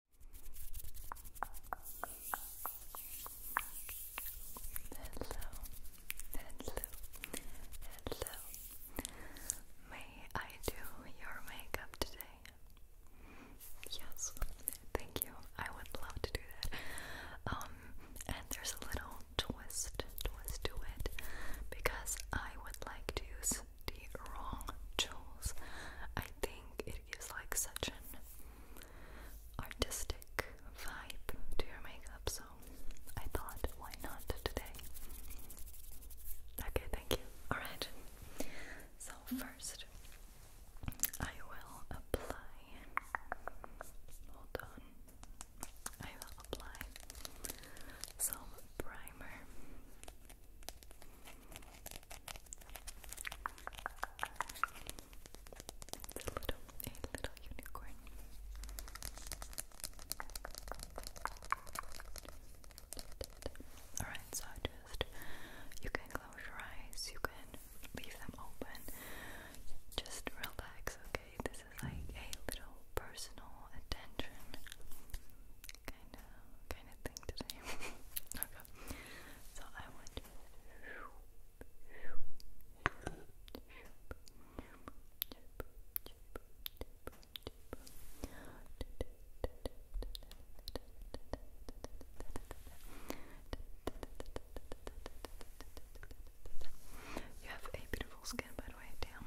hello, hello. May I do your makeup today? Yes, thank you. I would love to do that. Um, and there's a little twist, twist to it because I would like to use the wrong tools. I think it gives like such an artistic vibe to your makeup, so I thought, why not today? Okay, thank you. Alright, so first I will apply. Hold on. I will apply some primer. It's a little, a little unicorn. Alright, so just you can close your eyes, you can leave them open. Just relax, okay? This is like a little personal attention kind of kind of thing today. okay. So I want to you have a beautiful skin, by the way. Damn.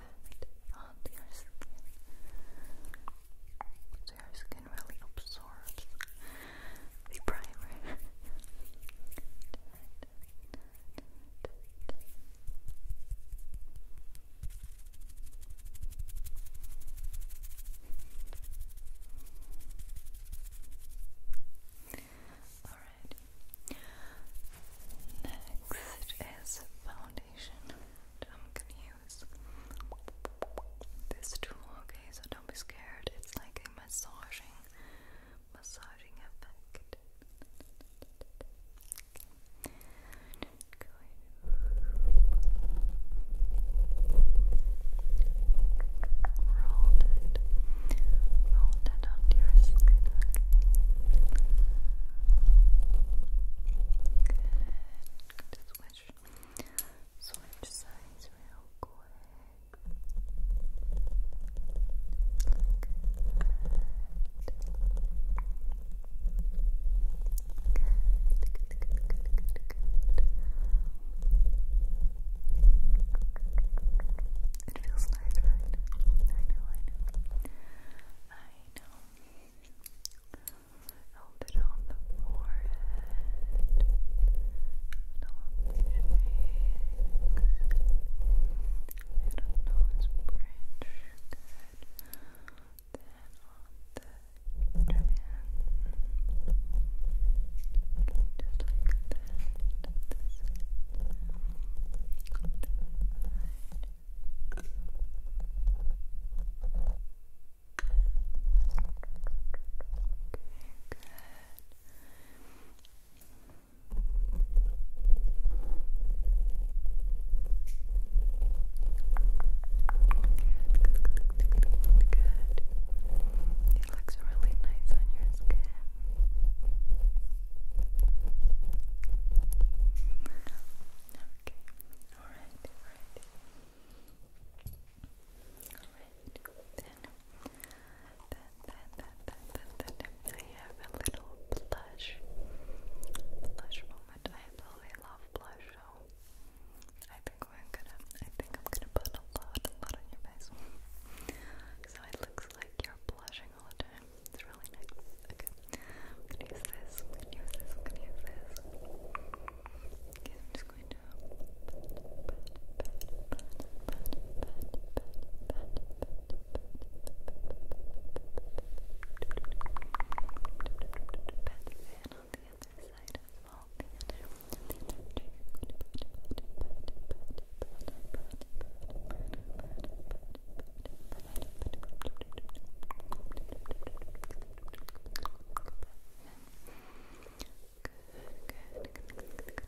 that onto your skin your skin really absorbs the primer Alright, Next is foundation. And I'm gonna use this tool, okay? So don't be scared. It's like a massaging, massaging effect that onto switch. Switch sides real quick. It feels nice, right? I know, I know. I know. Hold it on the forehead and on the cheeks little nose bridge, good then on the chin just like that, Good. It looks really nice on your skin. Okay, alright, alright. Alright, then, then, then, then, then, then, I have a little blush, blush moment. I absolutely love blush, so I think I'm gonna, I think I'm gonna put a lot, a lot on your face. so it looks like you're blushing watching all the time. It's really nice. Okay. I'm gonna use this. I'm gonna use this. I'm gonna use this. Okay, I'm just going to Good, like that, like that, like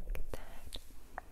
that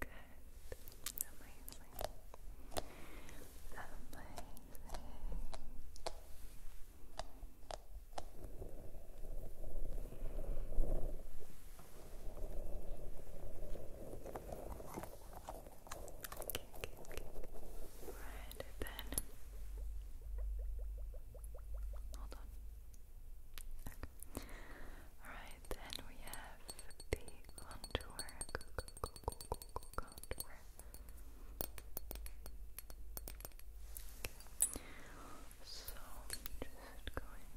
Good. Amazing. Amazing. Okay, okay, okay. Right then. Hold on. Alright, then we have the contour. So I'm just going to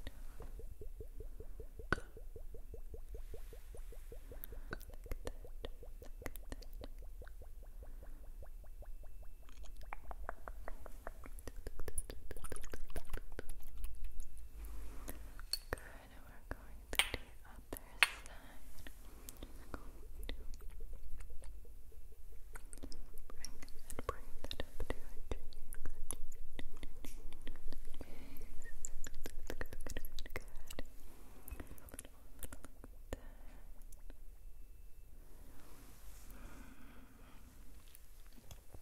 Good, we're going to the other side. We're going to bring that, bring that up to your cheeks. Good, good, good, good, good. A little, little like that. Mm -hmm.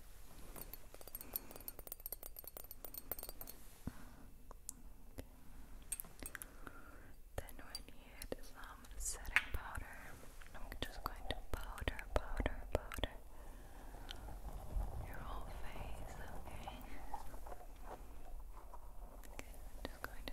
Then we need some setting powder. I'm just going to powder, powder, powder your whole face, okay? just going to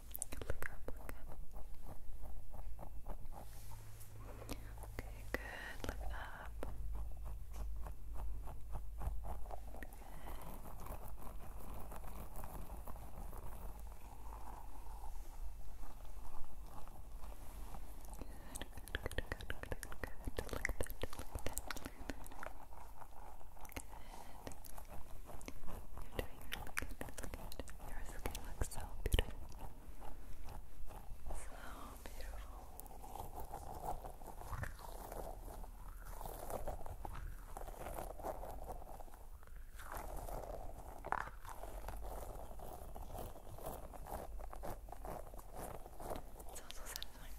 Look up, Okay, good. Look up. Good. Good, good, good, good, good, good. Look that, look that. Good. You're doing good good. Your skin looks so beautiful. So beautiful. It's also satisfying.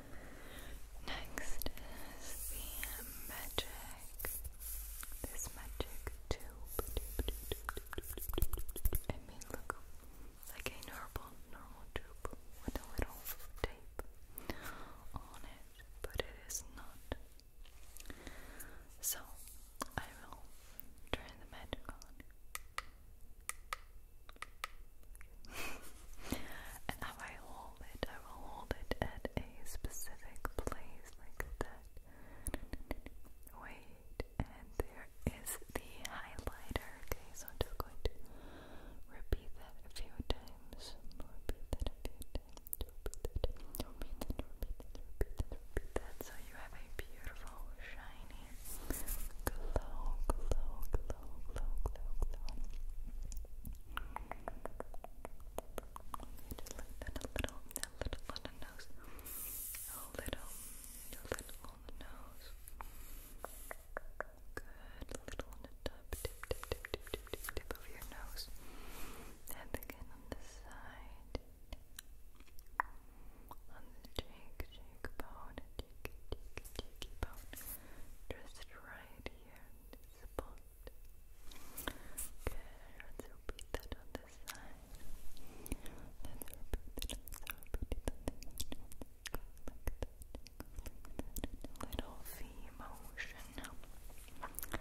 Next is the magic. This magic tube. It may look like a normal, normal tube with a little tape on it, but it is not. So I will turn the magic on. and I hold it, I will hold it at a specific place like that. Wait, and there is the highlighter. Okay, so I'm just going to repeat that a few times. Repeat that a few times. repeat that, repeat that, repeat that, repeat that. So you have a beautiful, shiny glow, glow, glow, glow, glow, glow. Just like a little, a little on the nose, a little, a little on the nose. Good, a little on the top, tip, tip, tip, tip, tip, tip, of your nose, and again on the side. On the cheek, cheekbone, cheek, cheek, just right here spot good, let's repeat that on this side let's repeat it, let's repeat that, go like that little V motion good,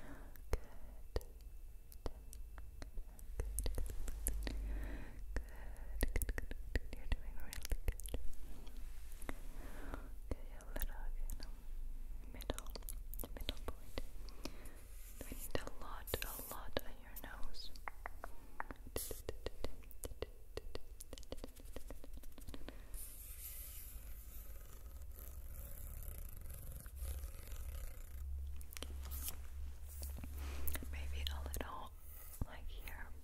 good, good, good, You're doing really good. a little, you know, middle, middle point. We need a lot, a lot on your nose. Maybe a little like here.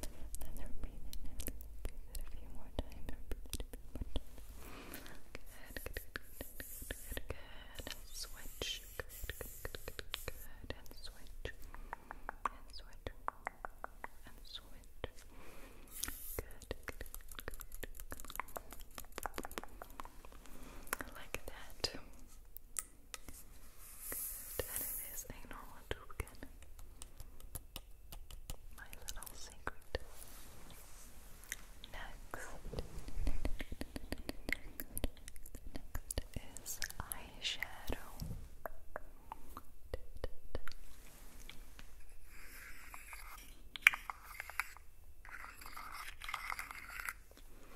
Then repeat and repeat it a few more times. Good, good, good, good, good, good. switch. Good, good, good, good, good. And switch. And switch. And switch. Good, good, good, good. Like that. And it is normal tube again. My little secret. Next, next is eyeshadow.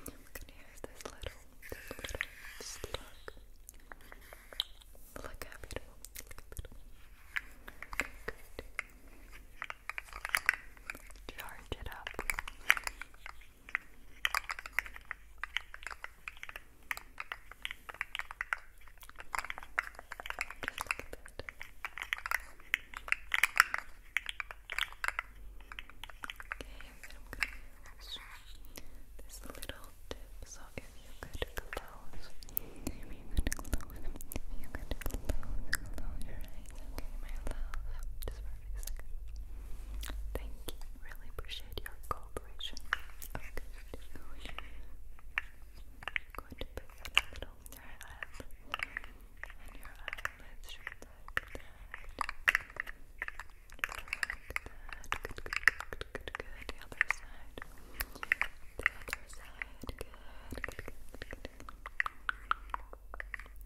You can hear this little, this little slug. Look how beautiful. Look how beautiful. Good. Charge it up. Just look at that. Okay, I'm gonna use this little tips. i you good close. If you could close, you could close, close your eyes, okay, my love. Just for a few seconds. Thank you. Really appreciate your cooperation. Okay, just go ahead. Going to put that a little on your head. And your eyelids should like that. Like that. Good, good, good, good, good. The other side. The other side. Good. Good. Good. Good.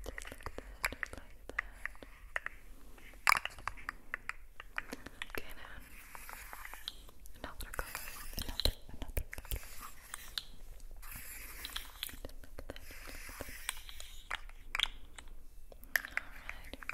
Just like that. Just like that. Okay now. Another color. Another. Another color. Just like that. Just like that. Alright.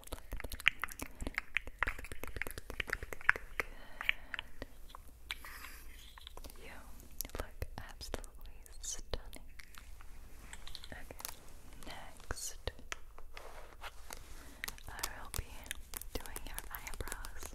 Good. You look absolutely stunning. Okay, next. I will be doing your eyebrows.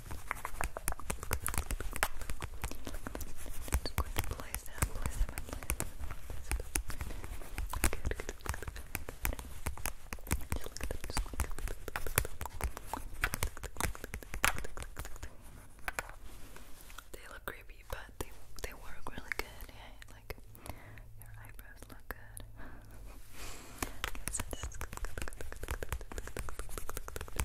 Just going to place them, place them, and place them. Good, good, good, good, good. Just look at them, just look at them. They look creepy, but they they work really good. Yeah, like your eyebrows look good.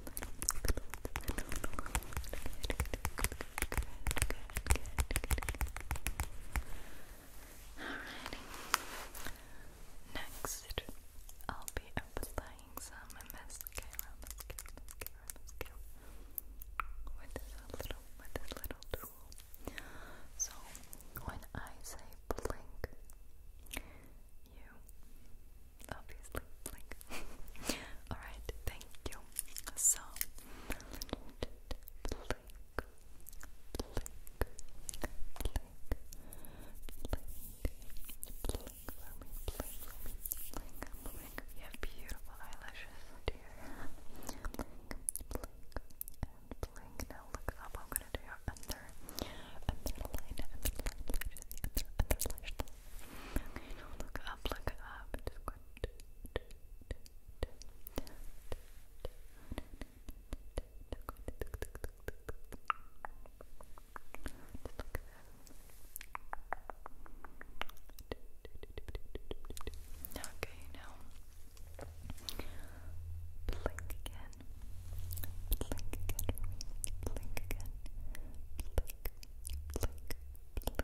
Alrighty. Next, I'll be applying some mascara, with this little, with this little tool. So when I say blink, you obviously blink. Alright, thank you. So blink, blink, blink, blink, blink for me, blink for me, blink, You have beautiful eyelashes, dear. Blink, and blink. Now look up. I'm gonna do your under, under line, under under, under lash Okay, now look up, blink again. Blink again. Blink again blink, blink.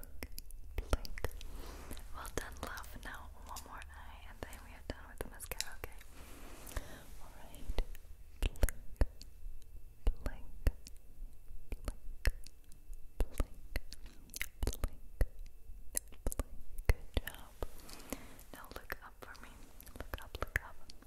Well done, love. Now one more eye, and then we are done with the mascara. Okay. All right. Blink, blink, blink, blink, blink, blink. Good job. Now look up for me. Look up. Look up.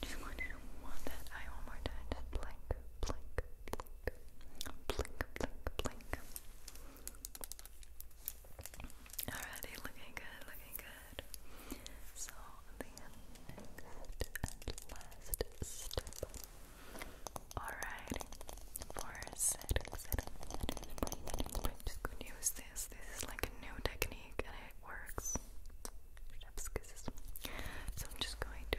Just going want that eye one more time. blink, blink, blink, blink, blink, Alrighty, looking good, looking good. So the next and last step. Alrighty, for setting, Just going to use this. This is like a new technique, works. So I'm just going to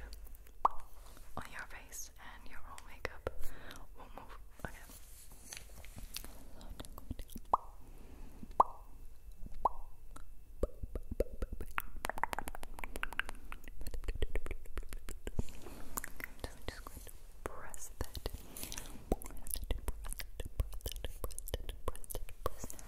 on your face and your whole makeup will move. Okay.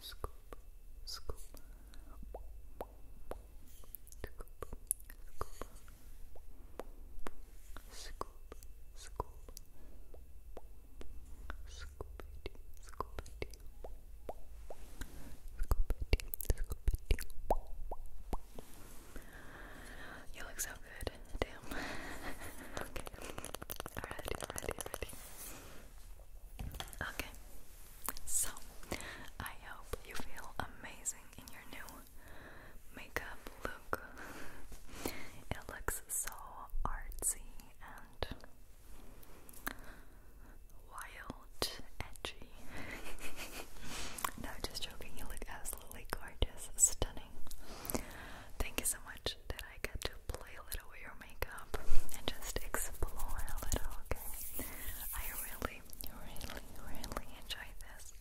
scoop, scoop, scoop, scoop, scoop, you look so good. Damn. okay. Alrighty, alrighty, alrighty. Okay, so I hope you feel amazing in your new makeup look. it looks so artsy and wild, edgy. no, just joking, you look absolutely gorgeous, stunning. Thank you so much that I get to play a little with your makeup and just explore a little, okay? I really, really, really enjoy this.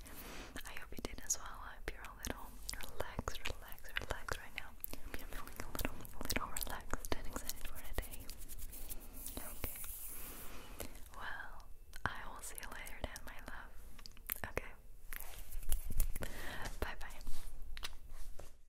I hope you did as well. I hope you're a little relaxed, relaxed, relaxed right now. I hope you're feeling a little, little relaxed and excited for today. Okay. Well, I will see you later then, my love. Okay. Bye bye.